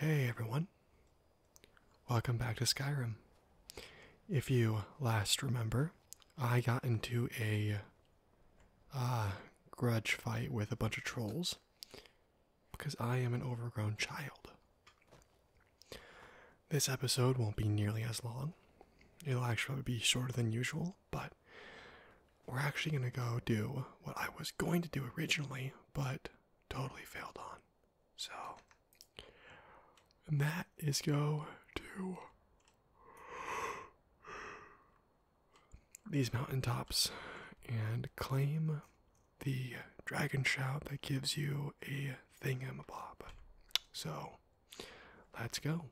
Hey everyone, welcome back to Skyrim. If you last remember, I got into a uh, grudge fight with a bunch of trolls because I am an overgrown child. This episode won't be nearly as long, it'll actually be shorter than usual but we're actually going to go do what I was going to do originally, but totally failed on. So, and that is go to these mountaintops and claim the dragon shout that gives you a thingamabob. So, let's go.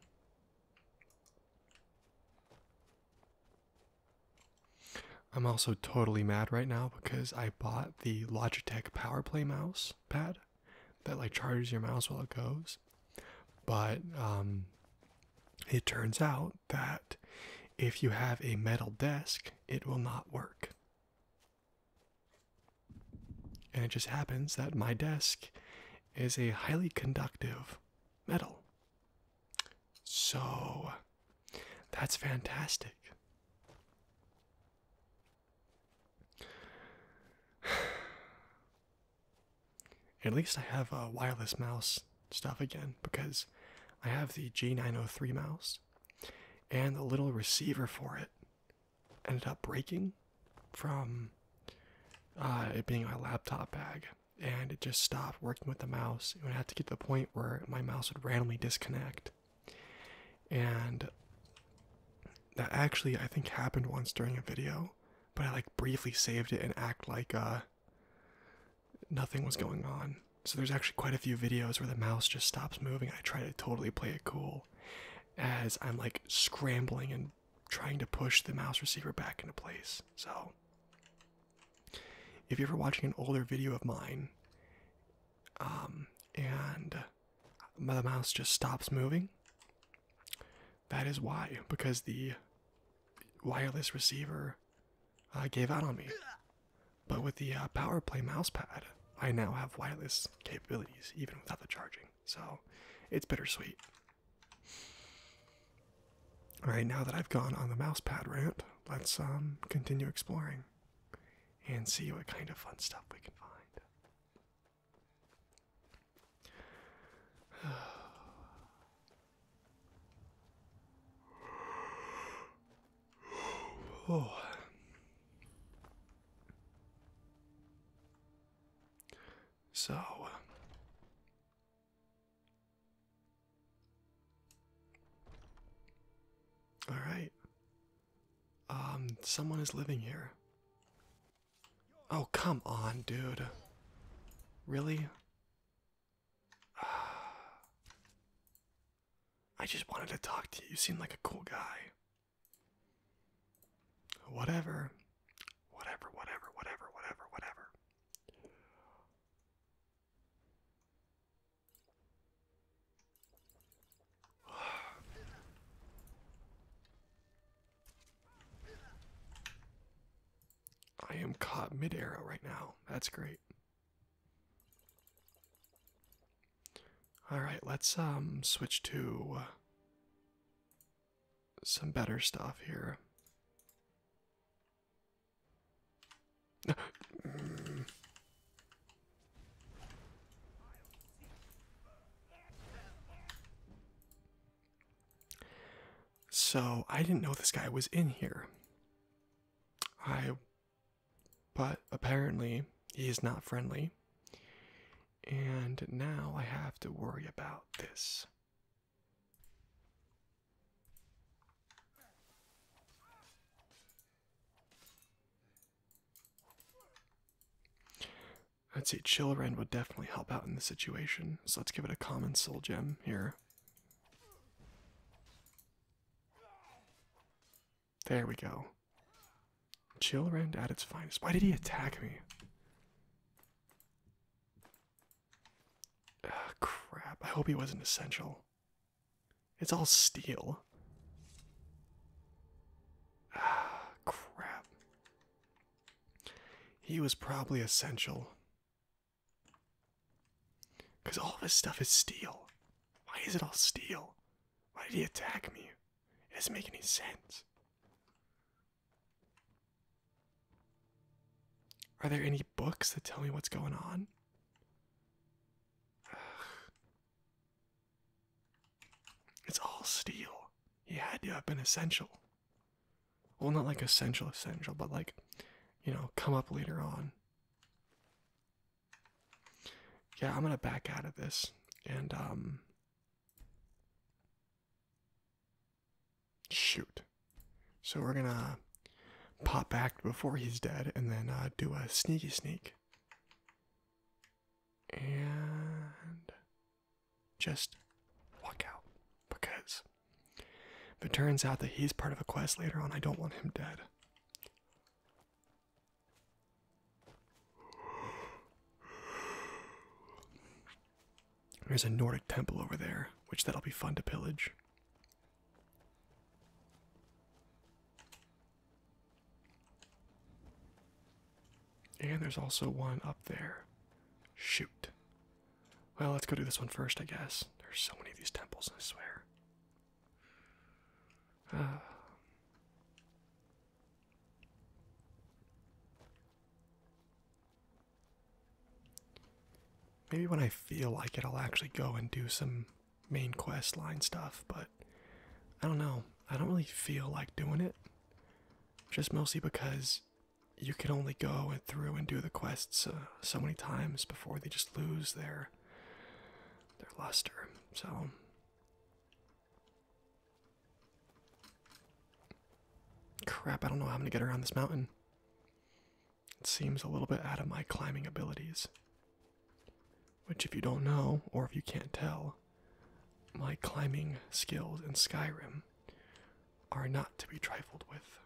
I'm also totally mad right now because I bought the Logitech PowerPlay mouse pad that like charges your mouse while it goes. But um, it turns out that if you have a metal desk, it will not work. And it just happens that my desk is a highly conductive metal. So that's fantastic. At least I have a wireless mouse stuff again because I have the G903 mouse and the little receiver for it ended up breaking from uh, it being my laptop bag, and it just stopped working with the mouse. And I had to get to the point where my mouse would randomly disconnect, and that actually I think happened once during a video, but I like briefly saved it and act like uh, nothing was going on. So there's actually quite a few videos where the mouse just stops moving. I try to totally play it cool as I'm like scrambling and trying to push the mouse receiver back into place. So, if you're ever watching an older video of mine um, and the mouse just stops moving, that is why, because the wireless receiver uh, gave out on me. But with the uh, mouse pad, I now have wireless capabilities even without the charging. So it's bittersweet. Alright, now that I've gone on the mouse pad rant, let's um continue exploring and see what kind of fun stuff we can find. oh. So, all right. Um, someone is living here. Oh, come on, dude. Really? I just wanted to talk to you. You seem like a cool guy. Whatever whatever, whatever, whatever, whatever, whatever. I am caught mid arrow right now. That's great. All right, let's um switch to uh, some better stuff here. So I didn't know this guy was in here. I but apparently he is not friendly. And now I have to worry about this. I'd say Chilliren would definitely help out in this situation, so let's give it a common soul gem here. There we go. Chilliren at its finest. Why did he attack me? crap. I hope he wasn't essential. It's all steel. Ah, crap. He was probably essential. Because all of his stuff is steel. Why is it all steel? Why did he attack me? It doesn't make any sense. Are there any books that tell me what's going on? It's all steel. He had to have been essential. Well, not like essential, essential, but like, you know, come up later on. Yeah, I'm gonna back out of this and, um, Shoot. So we're gonna pop back before he's dead and then uh, do a sneaky sneak. And just walk out because if it turns out that he's part of a quest later on, I don't want him dead. There's a Nordic temple over there, which that'll be fun to pillage. And there's also one up there. Shoot. Well, let's go do this one first, I guess. There's so many of these temples, I swear. Uh. Maybe when I feel like it, I'll actually go and do some main quest line stuff, but I don't know. I don't really feel like doing it. Just mostly because you can only go and through and do the quests uh, so many times before they just lose their their luster. So Crap, I don't know how I'm gonna get around this mountain. It seems a little bit out of my climbing abilities. Which, if you don't know, or if you can't tell, my climbing skills in Skyrim are not to be trifled with.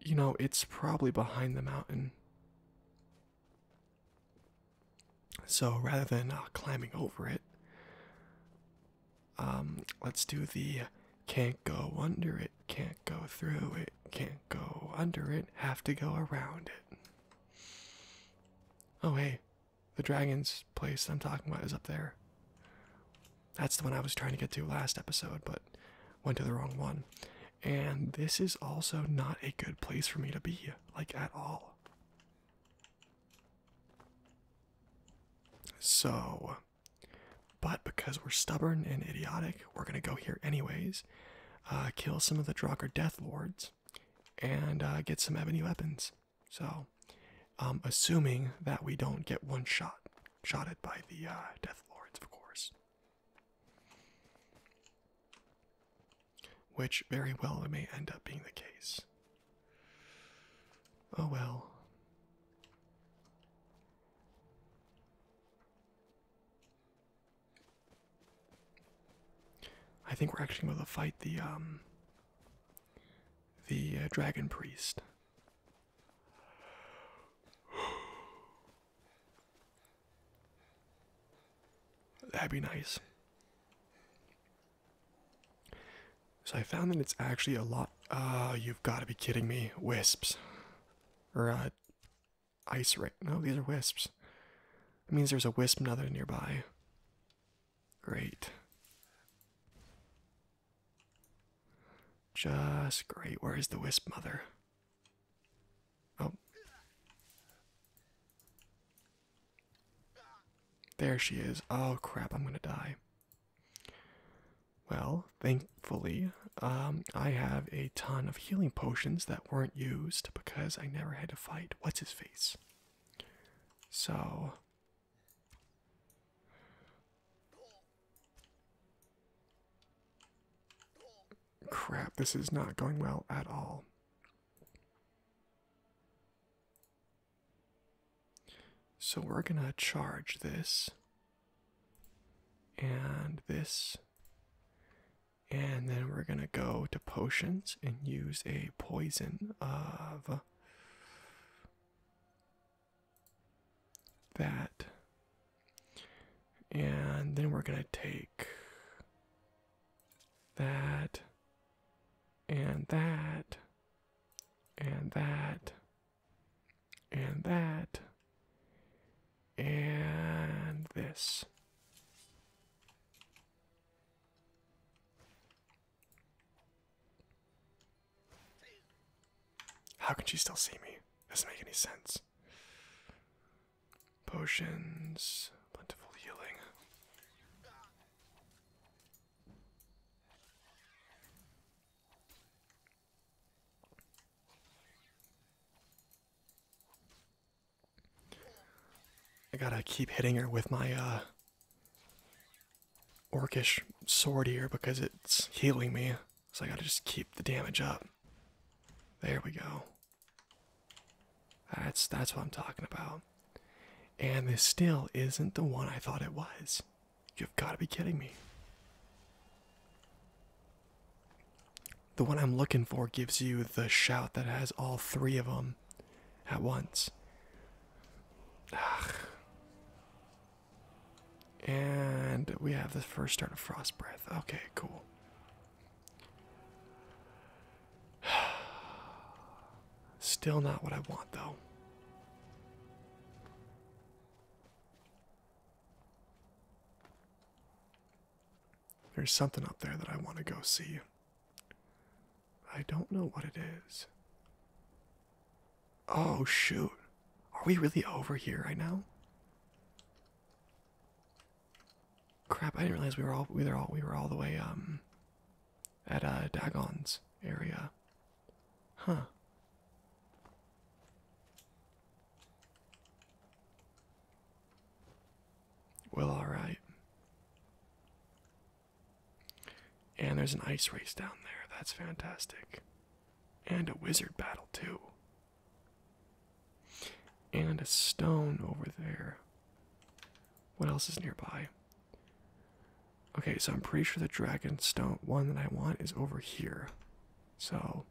You know, it's probably behind the mountain. So rather than uh, climbing over it, um, let's do the can't go under it, can't go through it, can't go under it, have to go around it. Oh, hey, the dragon's place I'm talking about is up there. That's the one I was trying to get to last episode, but went to the wrong one. And this is also not a good place for me to be, like at all. So, but because we're stubborn and idiotic, we're gonna go here anyways, uh, kill some of the Draugr Death Lords, and uh, get some ebony weapons. So, um, assuming that we don't get one shot, shot at by the uh, Death Lords, of course which very well may end up being the case. Oh well. I think we're actually going to fight the um the uh, dragon priest. That'd be nice. So I found that it's actually a lot. Oh, you've got to be kidding me. Wisps. Or, uh, ice right. No, these are wisps. That means there's a wisp mother nearby. Great. Just great. Where is the wisp mother? Oh. There she is. Oh crap, I'm gonna die. Well, thankfully, um, I have a ton of healing potions that weren't used because I never had to fight. What's his face? So. Crap, this is not going well at all. So we're going to charge this and this. And then we're going to go to potions and use a poison of that. And then we're going to take that and that, and that, and that, and this. How can she still see me? Doesn't make any sense. Potions, plentiful healing. I gotta keep hitting her with my uh, orcish sword here because it's healing me. So I gotta just keep the damage up. There we go. That's that's what I'm talking about. And this still isn't the one I thought it was. You've got to be kidding me. The one I'm looking for gives you the shout that has all three of them at once. And we have the first start of frost breath. Okay, cool. Still not what I want, though. There's something up there that I want to go see. I don't know what it is. Oh, shoot. Are we really over here right now? Crap, I didn't realize we were all we were all we were all the way um at uh, Dagon's area. Huh. Well, alright. And there's an ice race down there. That's fantastic. And a wizard battle, too. And a stone over there. What else is nearby? Okay, so I'm pretty sure the dragon stone one that I want is over here. So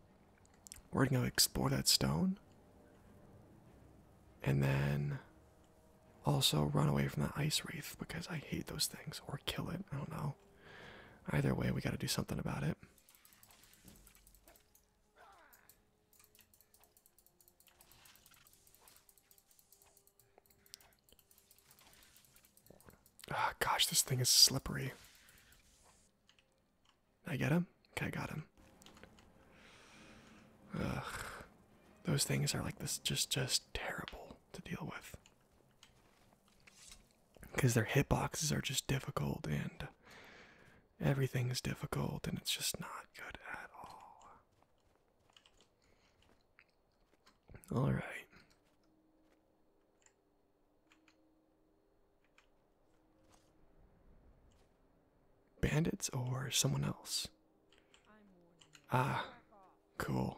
we're gonna explore that stone. And then also run away from that ice wraith because I hate those things. Or kill it. I don't know. Either way, we gotta do something about it. Ah, gosh, this thing is slippery. I get him? Okay, I got him. Ugh. Those things are like this just just terrible to deal with. Because their hitboxes are just difficult and everything is difficult and it's just not good at all. All right. Bandits or someone else? Ah, cool.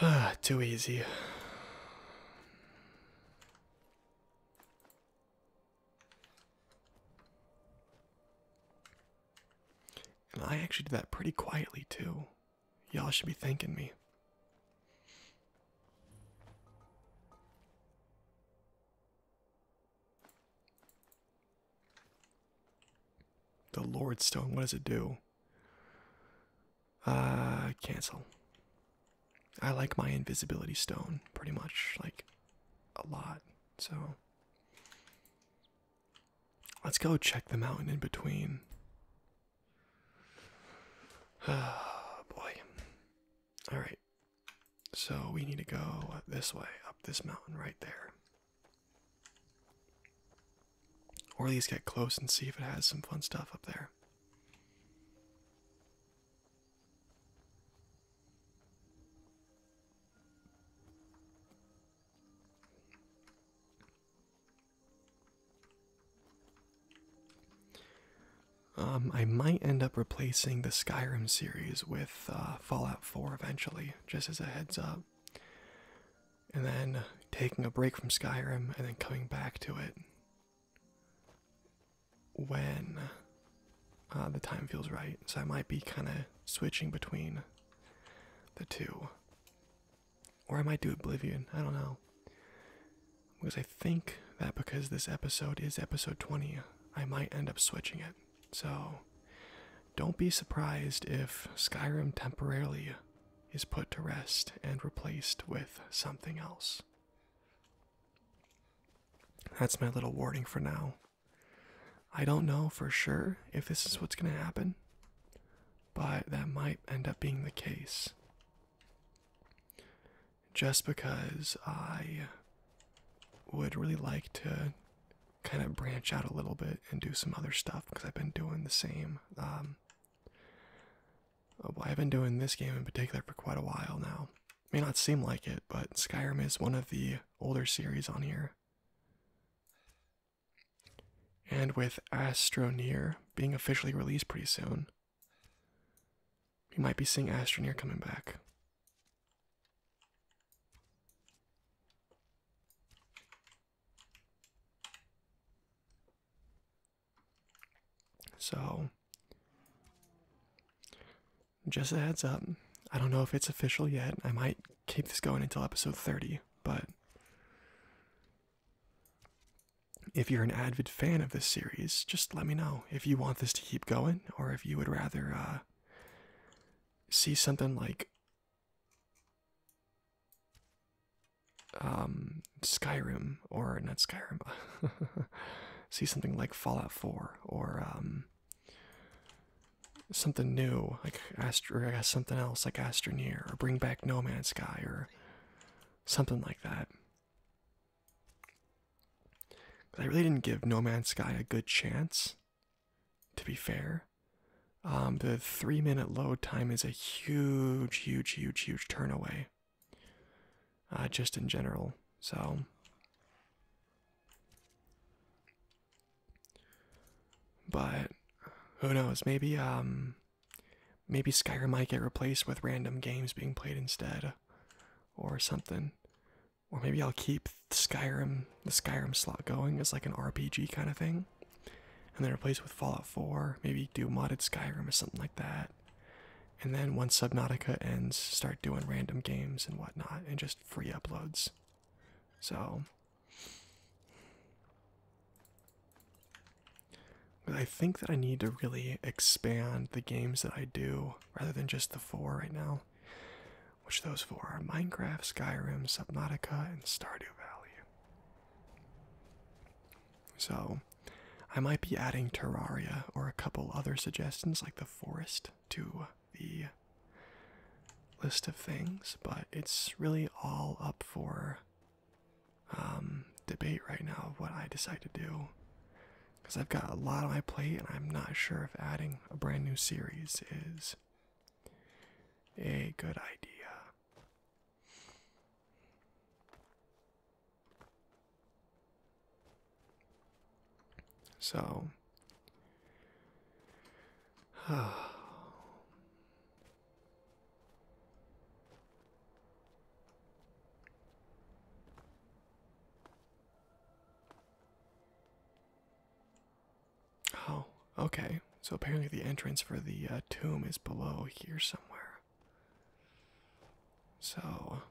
Ah, too easy. And I actually did that pretty quietly, too. Y'all should be thanking me. The Lord Stone, what does it do? Uh, cancel. I like my invisibility stone pretty much like a lot, so Let's go check the mountain in between. Oh boy. Alright. So we need to go this way, up this mountain right there. Or at least get close and see if it has some fun stuff up there. Um, I might end up replacing the Skyrim series with uh, Fallout 4 eventually, just as a heads up. And then taking a break from Skyrim and then coming back to it when uh, the time feels right. So I might be kind of switching between the two. Or I might do Oblivion. I don't know. Because I think that because this episode is episode 20, I might end up switching it. So don't be surprised if Skyrim temporarily is put to rest and replaced with something else. That's my little warning for now. I don't know for sure if this is what's going to happen, but that might end up being the case. Just because I would really like to kind of branch out a little bit and do some other stuff because I've been doing the same. Um, I've been doing this game in particular for quite a while now. May not seem like it, but Skyrim is one of the older series on here. And with Astroneer being officially released pretty soon, we might be seeing Astroneer coming back. So, just a heads up, I don't know if it's official yet. I might keep this going until episode 30, but if you're an avid fan of this series, just let me know if you want this to keep going or if you would rather uh, see something like um, Skyrim or not Skyrim. see something like Fallout 4 or um, something new. Astro or something else like Astroneer or bring back No Man's Sky or something like that. I really didn't give No Man's Sky a good chance. To be fair, um, the three-minute load time is a huge, huge, huge, huge turnaway. Uh, just in general, so but who knows? Maybe um, maybe Skyrim might get replaced with random games being played instead, or something. Or maybe I'll keep Skyrim, the Skyrim slot going as like an RPG kind of thing, and then replace it with Fallout 4. Maybe do modded Skyrim or something like that. And then once Subnautica ends, start doing random games and whatnot, and just free uploads. So I think that I need to really expand the games that I do rather than just the four right now. Which those four are Minecraft, Skyrim, Subnautica, and Stardew Valley. So I might be adding Terraria or a couple other suggestions like the forest to the list of things, but it's really all up for um, debate right now of what I decide to do. Because I've got a lot on my plate, and I'm not sure if adding a brand new series is a good idea. So, Oh, okay. So apparently the entrance for the uh, tomb is below here somewhere. So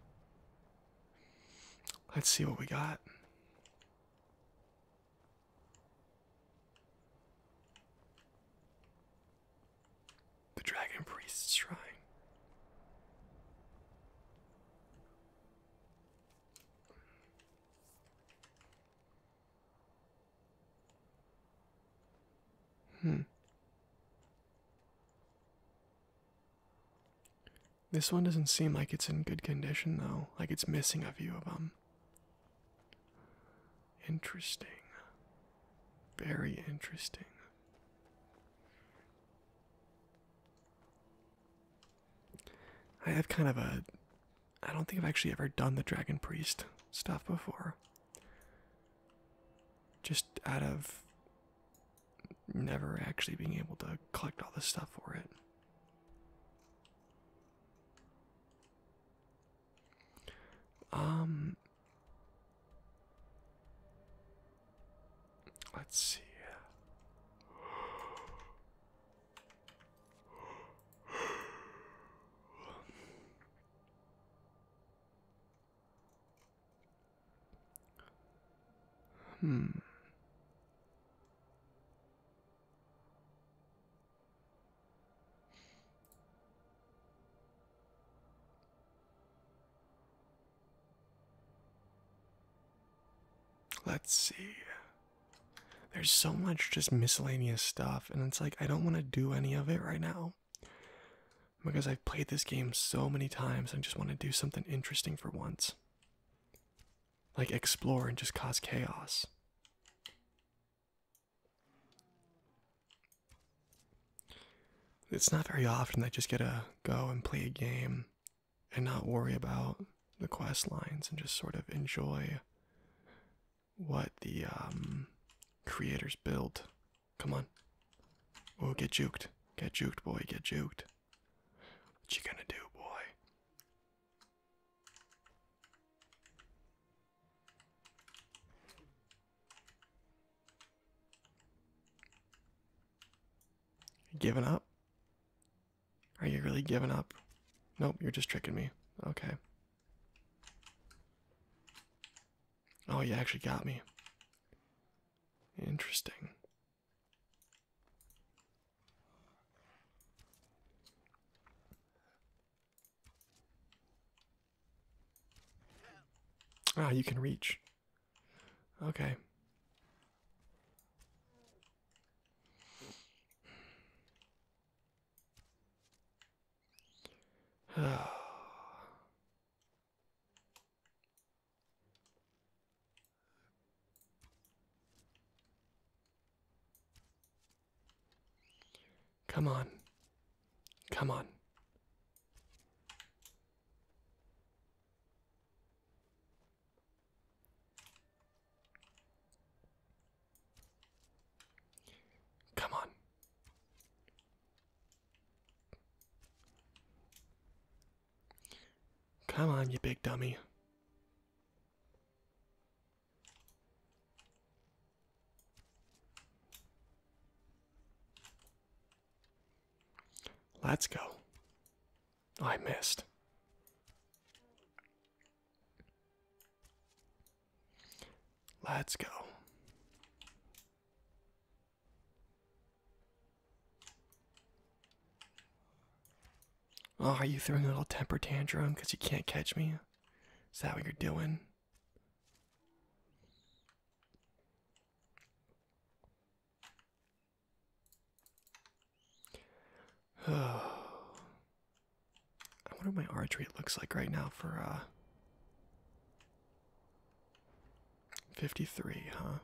let's see what we got. The Dragon Priest's Shrine. Hmm. This one doesn't seem like it's in good condition though. Like it's missing a few of them. Interesting. Very interesting. I have kind of a. I don't think I've actually ever done the Dragon Priest stuff before. Just out of never actually being able to collect all the stuff for it. Um Let's see. Hmm. Let's see. There's so much just miscellaneous stuff, and it's like I don't want to do any of it right now because I've played this game so many times. I just want to do something interesting for once. Like explore and just cause chaos. It's not very often I just get to go and play a game and not worry about the quest lines and just sort of enjoy what the um, creators built. Come on. Oh, get juked. Get juked, boy. Get juked. What you gonna do, boy? Giving up? Are you really giving up? Nope, you're just tricking me. Okay. Oh, you actually got me. Interesting. Ah, you can reach. Okay. Come on. Come on. Come on. Come on, you big dummy. Let's go. I missed. Let's go. are oh, you throwing a little temper tantrum because you can't catch me? Is that what you're doing? Oh. I wonder what my archery looks like right now for uh 53, huh?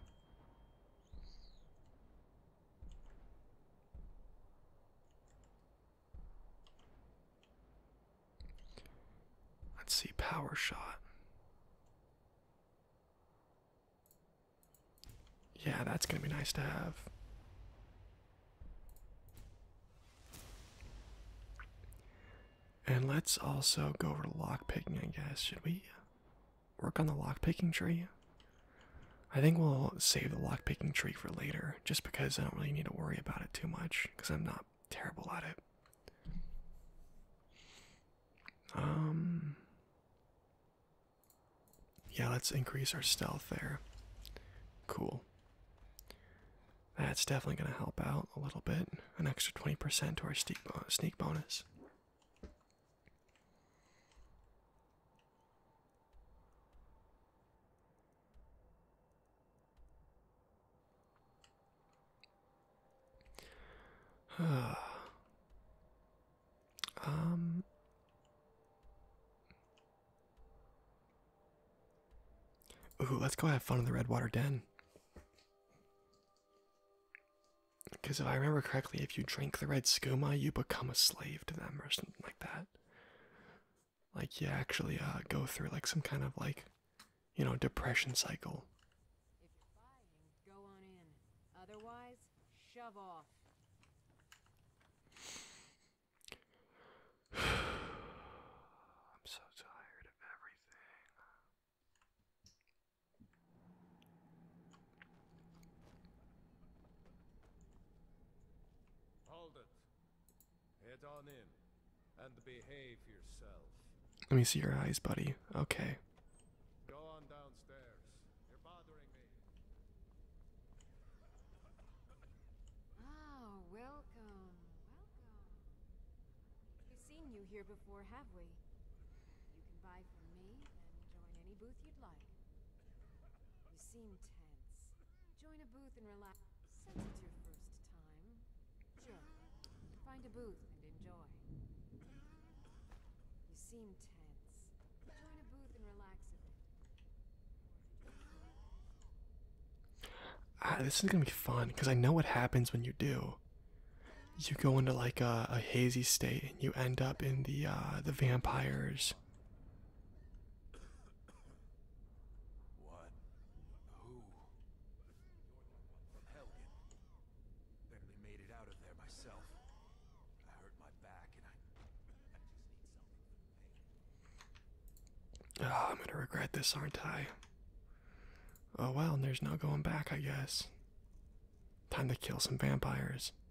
Let's see, power shot. Yeah, that's going to be nice to have. And let's also go over to lockpicking, I guess. Should we work on the lockpicking tree? I think we'll save the lockpicking tree for later, just because I don't really need to worry about it too much, because I'm not terrible at it. Um, yeah, let's increase our stealth there. Cool. That's definitely going to help out a little bit. An extra 20% to our sneak, sneak bonus. um Ooh, let's go have fun in the Redwater Den. Because if I remember correctly, if you drink the red skooma, you become a slave to them or something like that like you actually uh, go through like some kind of like you know depression cycle. I'm so tired of everything. Hold it. Head on in and behave yourself. Let me see your eyes, buddy. Okay. Go on downstairs. You're bothering me. Oh, welcome. Welcome. We've seen you here before, have we? You can buy from me and join any booth you'd like. You seem tense. Join a booth and relax. Since it's your first time, sure. Find a booth and enjoy. You seem tense. Join a booth and relax Ah, this is gonna be fun because I know what happens when you do. You go into like a, hazy state and you end up in the uh, the vampires what? Who? From Helgen. Barely made it out of there myself. I hurt my back and I... I just need something Ah, I'm gonna regret this, aren't I? Oh well, there's no going back, I guess. Time to kill some vampires.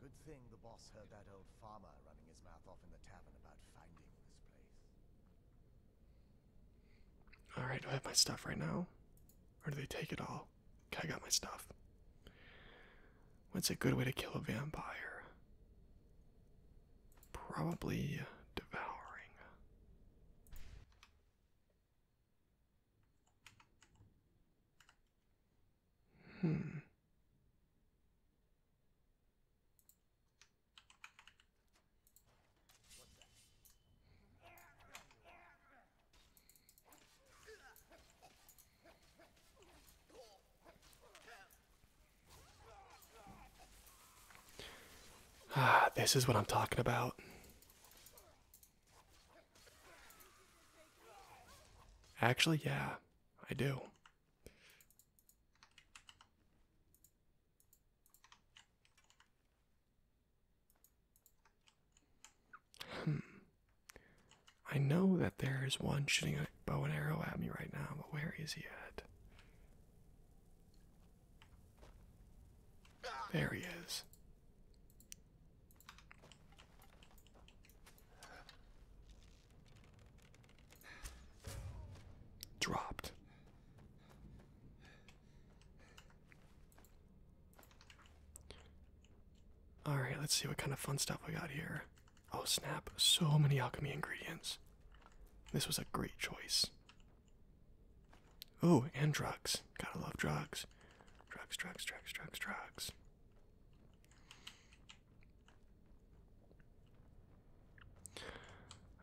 Good thing the boss heard that old farmer running his mouth off in the tavern about finding this place. Alright, do I have my stuff right now? Or do they take it all? Okay, I got my stuff. What's a good way to kill a vampire? Probably devouring. Hmm. Ah, this is what I'm talking about. Actually, yeah, I do. Hmm. I know that there is one shooting a bow and arrow at me right now, but where is he at? There he is. Dropped. Alright, let's see what kind of fun stuff we got here. Oh snap, so many alchemy ingredients. This was a great choice. Oh, and drugs. Gotta love drugs. Drugs, drugs, drugs, drugs, drugs.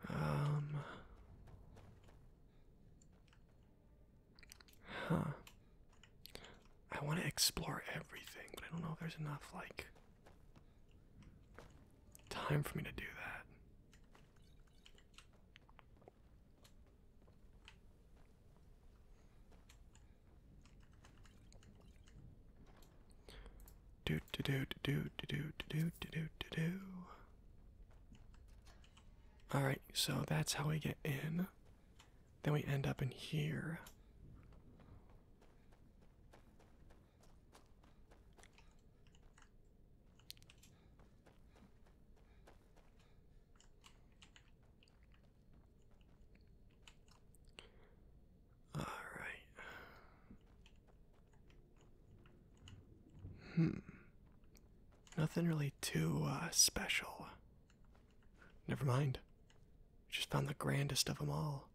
Um. Huh. I want to explore everything, but I don't know if there's enough like time for me to do that. Do do do do do do do do do do All right, so that's how we get in. Then we end up in here. All right. Hmm. Nothing really too uh, special. Never mind. Just found the grandest of them all.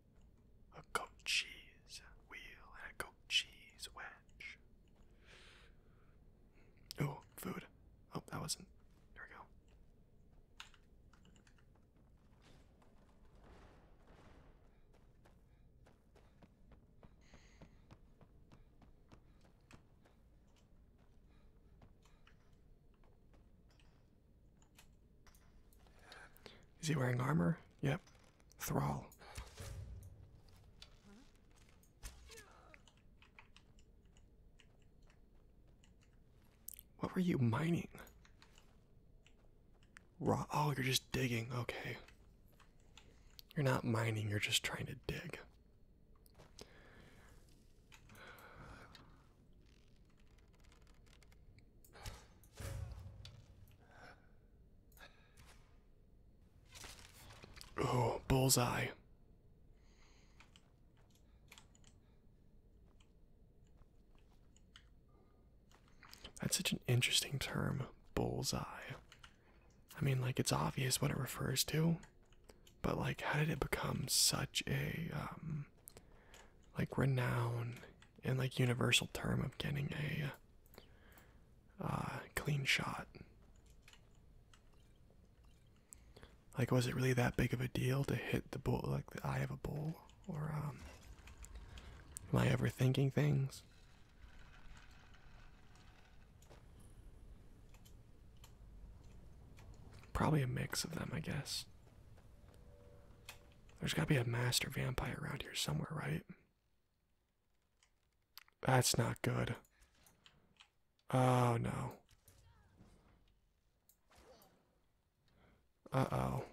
A goat cheese wheel and a goat cheese wedge. Oh, food. Oh, that wasn't. There we go. Is he wearing armor? Yep. Thrall. What were you mining? Raw. Oh, you're just digging. Okay. You're not mining, you're just trying to dig. Oh, bullseye. That's such an interesting term, bullseye. I mean, like, it's obvious what it refers to, but, like, how did it become such a, um, like, renowned and, like, universal term of getting a uh, clean shot? Like, was it really that big of a deal to hit the bull, like the eye of a bull? Or, um, am I overthinking things? Probably a mix of them, I guess. There's gotta be a master vampire around here somewhere, right? That's not good. Oh no. Uh-oh.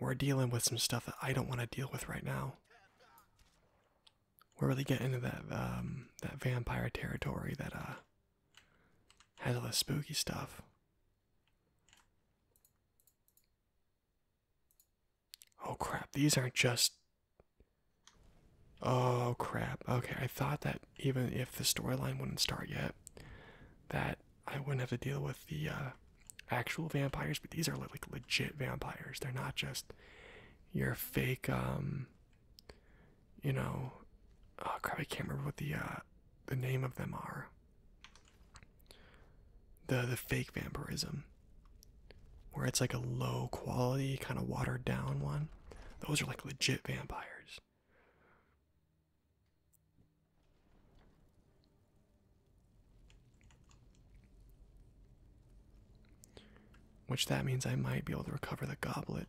We're dealing with some stuff that I don't want to deal with right now. We're really getting into that um that vampire territory that uh has all this spooky stuff. Oh crap, these aren't just Oh crap. Okay, I thought that even if the storyline wouldn't start yet, that I wouldn't have to deal with the uh, actual vampires, but these are like legit vampires. They're not just your fake, um, you know. Oh crap! I can't remember what the uh, the name of them are. The the fake vampirism, where it's like a low quality kind of watered down one. Those are like legit vampires. Which that means I might be able to recover the goblet.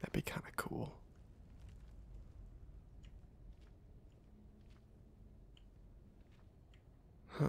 That'd be kind of cool. Huh.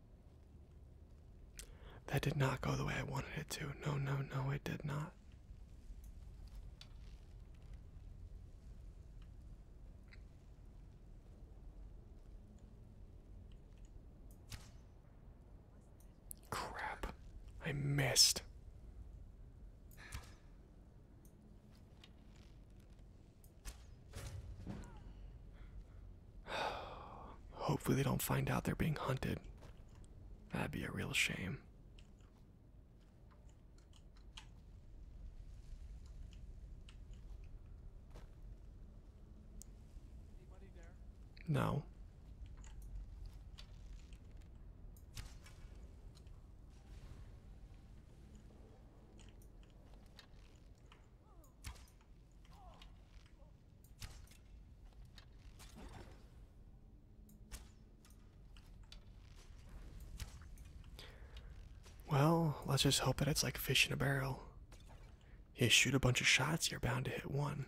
That did not go the way I wanted it to. No, no, no, it did not. Crap. I missed. Hopefully, they don't find out they're being hunted. That'd be a real shame. No. Well, let's just hope that it's like fish in a barrel. You shoot a bunch of shots, you're bound to hit one.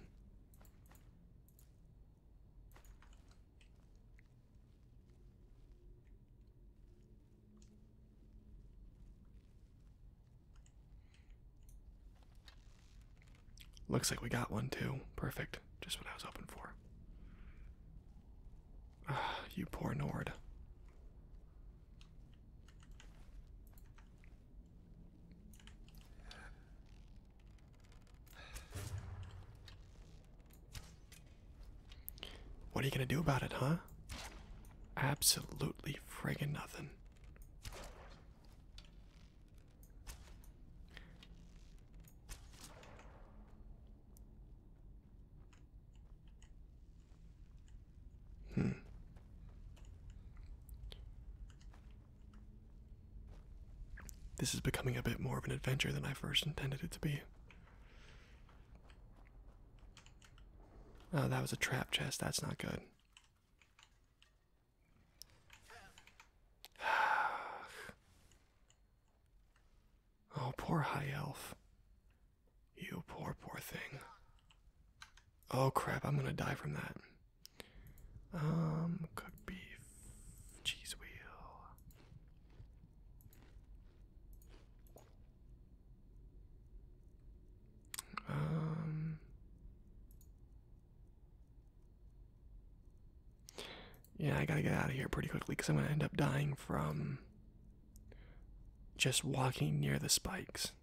Looks like we got one too. Perfect. Just what I was hoping for. Ah, you poor Nord. What are you gonna do about it, huh? Absolutely friggin' nothing. Hmm. This is becoming a bit more of an adventure than I first intended it to be. Oh, that was a trap chest. That's not good. Oh, poor high elf. You poor, poor thing. Oh crap, I'm gonna die from that. Um, cooked beef, cheese wheel. Um, yeah, I gotta get out of here pretty quickly because I'm gonna end up dying from just walking near the spikes.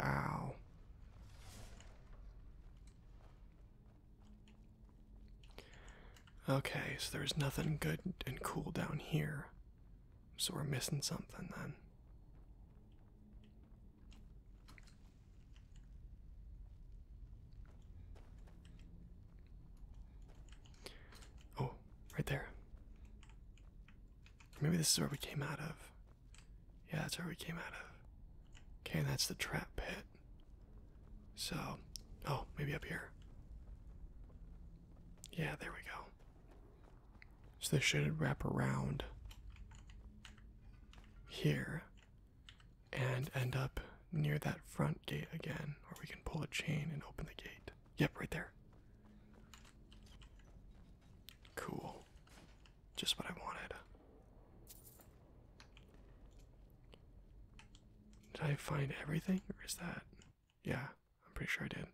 Ow. Okay, so there's nothing good and cool down here. So we're missing something then. Oh, right there. Maybe this is where we came out of. Yeah, that's where we came out of. Okay, and that's the trap pit. So, oh, maybe up here. Yeah, there we go. So they should wrap around here and end up near that front gate again, where we can pull a chain and open the gate. Yep, right there. Cool. Just what I wanted. Did I find everything, or is that? Yeah, I'm pretty sure I did.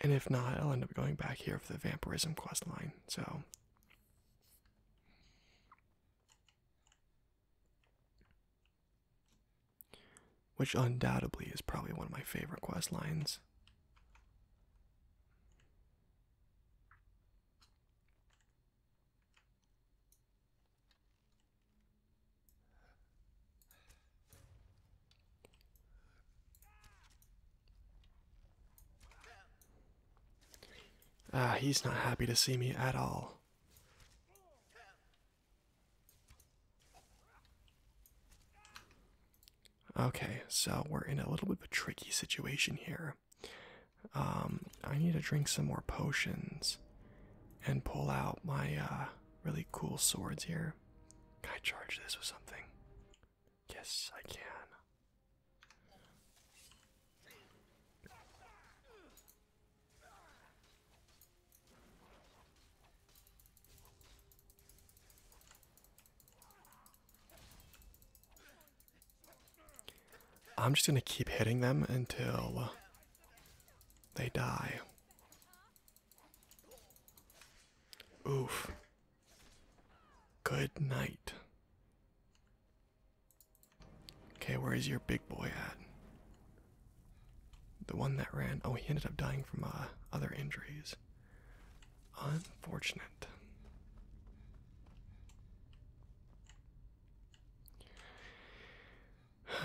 And if not, I'll end up going back here for the vampirism quest line, so. Which undoubtedly is probably one of my favorite quest lines. Ah, he's not happy to see me at all. Okay, so we're in a little bit of a tricky situation here. Um, I need to drink some more potions and pull out my uh, really cool swords here. Can I charge this with something? Yes, I can. I'm just going to keep hitting them until they die. Oof. Good night. Okay, where is your big boy at? The one that ran. Oh, he ended up dying from uh, other injuries unfortunate. I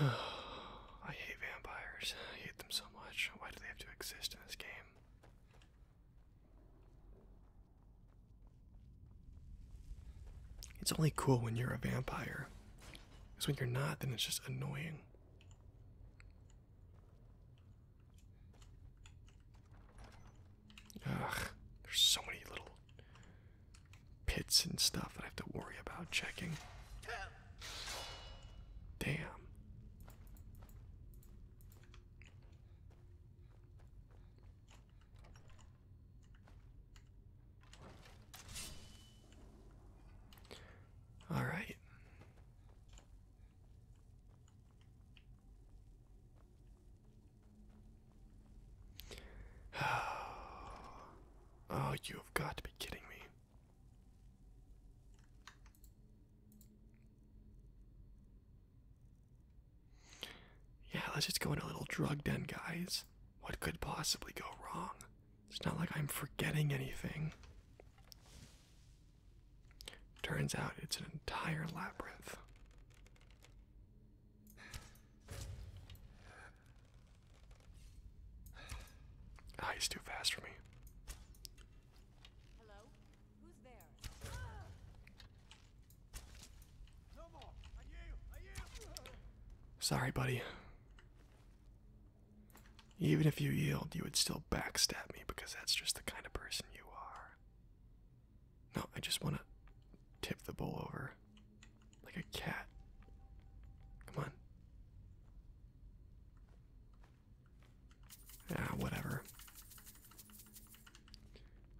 hate vampires. I hate them so much. Why do they have to exist in this game? It's only cool when you're a vampire. Because when you're not, then it's just annoying. Ugh, there's so many little pits and stuff that I have to worry about checking. Damn. All right. oh, you have got to be kidding me. Yeah, let's just go into a little drug den, guys. What could possibly go wrong? It's not like I'm forgetting anything. Turns out it's an entire labyrinth. Ah, he's too fast for me. Sorry, buddy. Even if you yield, you would still backstab me because that's just the kind of person you are. No, I just want to tip the bowl over like a cat. Come on. Yeah, whatever.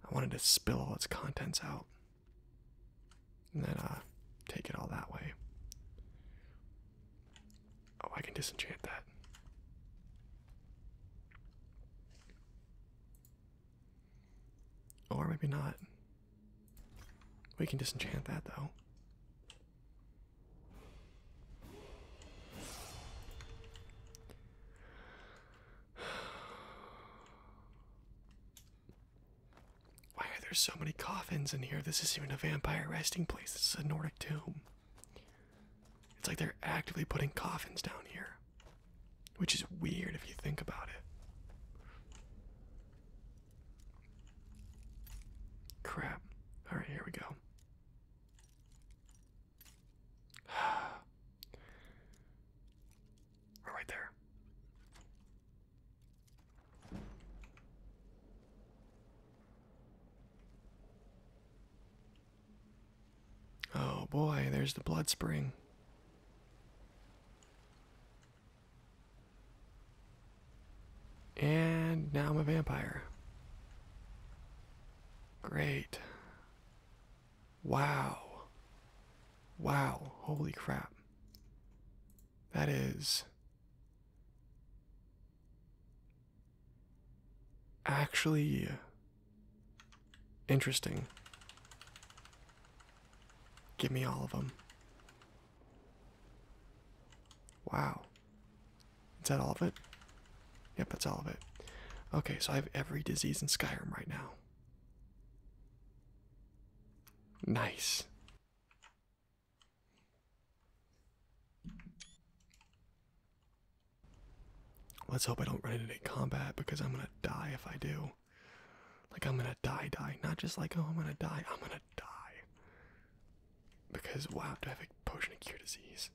I wanted to spill all its contents out. And then uh take it all that way. Oh, I can disenchant that. Or maybe not. We can disenchant that though. Why are there so many coffins in here? This isn't even a vampire resting place. This is a Nordic tomb. It's like they're actively putting coffins down here, which is weird if you think about it. Crap. Alright, here we go. We're right there. Oh boy, there's the blood spring. And now I'm a vampire. Great. Wow. Wow. Holy crap. That is actually interesting. Give me all of them. Wow. Is that all of it? Yep, that's all of it. Okay, so I have every disease in Skyrim right now. Nice. Let's hope I don't run into combat because I'm gonna die if I do. Like, I'm gonna die, die. Not just like, oh, I'm gonna die, I'm gonna die. Because, wow, do I have a potion to cure disease?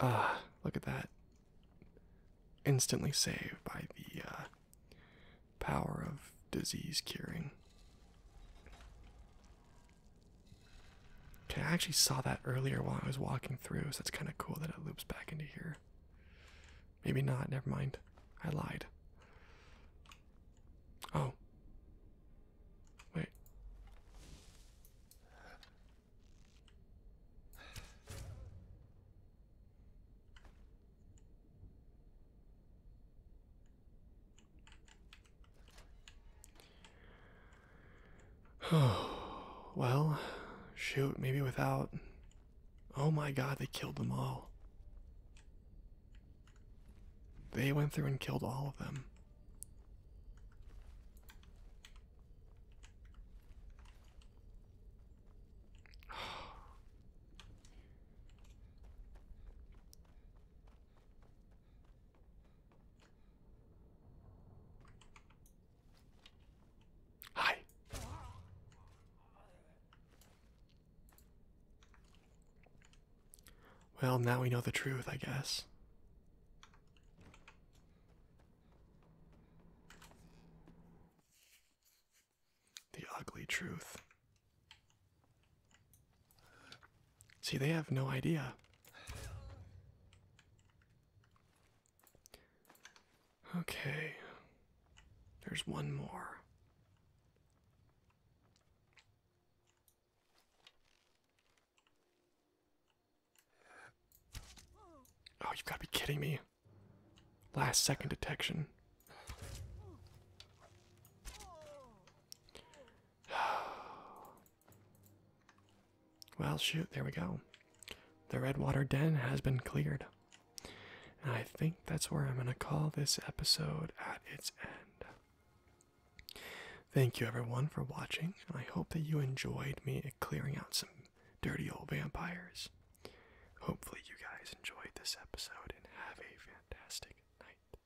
Ah, look at that. Instantly saved by the uh, power of disease curing. Okay, I actually saw that earlier while I was walking through, so it's kind of cool that it loops back into here. Maybe not, never mind. I lied. Oh. Wait. Oh well, shoot, maybe without. Oh my god, they killed them all. They went through and killed all of them. Hi. Well, now we know the truth, I guess. The ugly truth. See, they have no idea. Okay. There's one more. Oh, you've got to be kidding me. Last second detection. Oh. Well, shoot, there we go. The Redwater Den has been cleared. I think that's where I'm going to call this episode at its end. Thank you, everyone, for watching, I hope that you enjoyed me clearing out some dirty old vampires. Hopefully, you guys enjoyed this episode and have a fantastic night.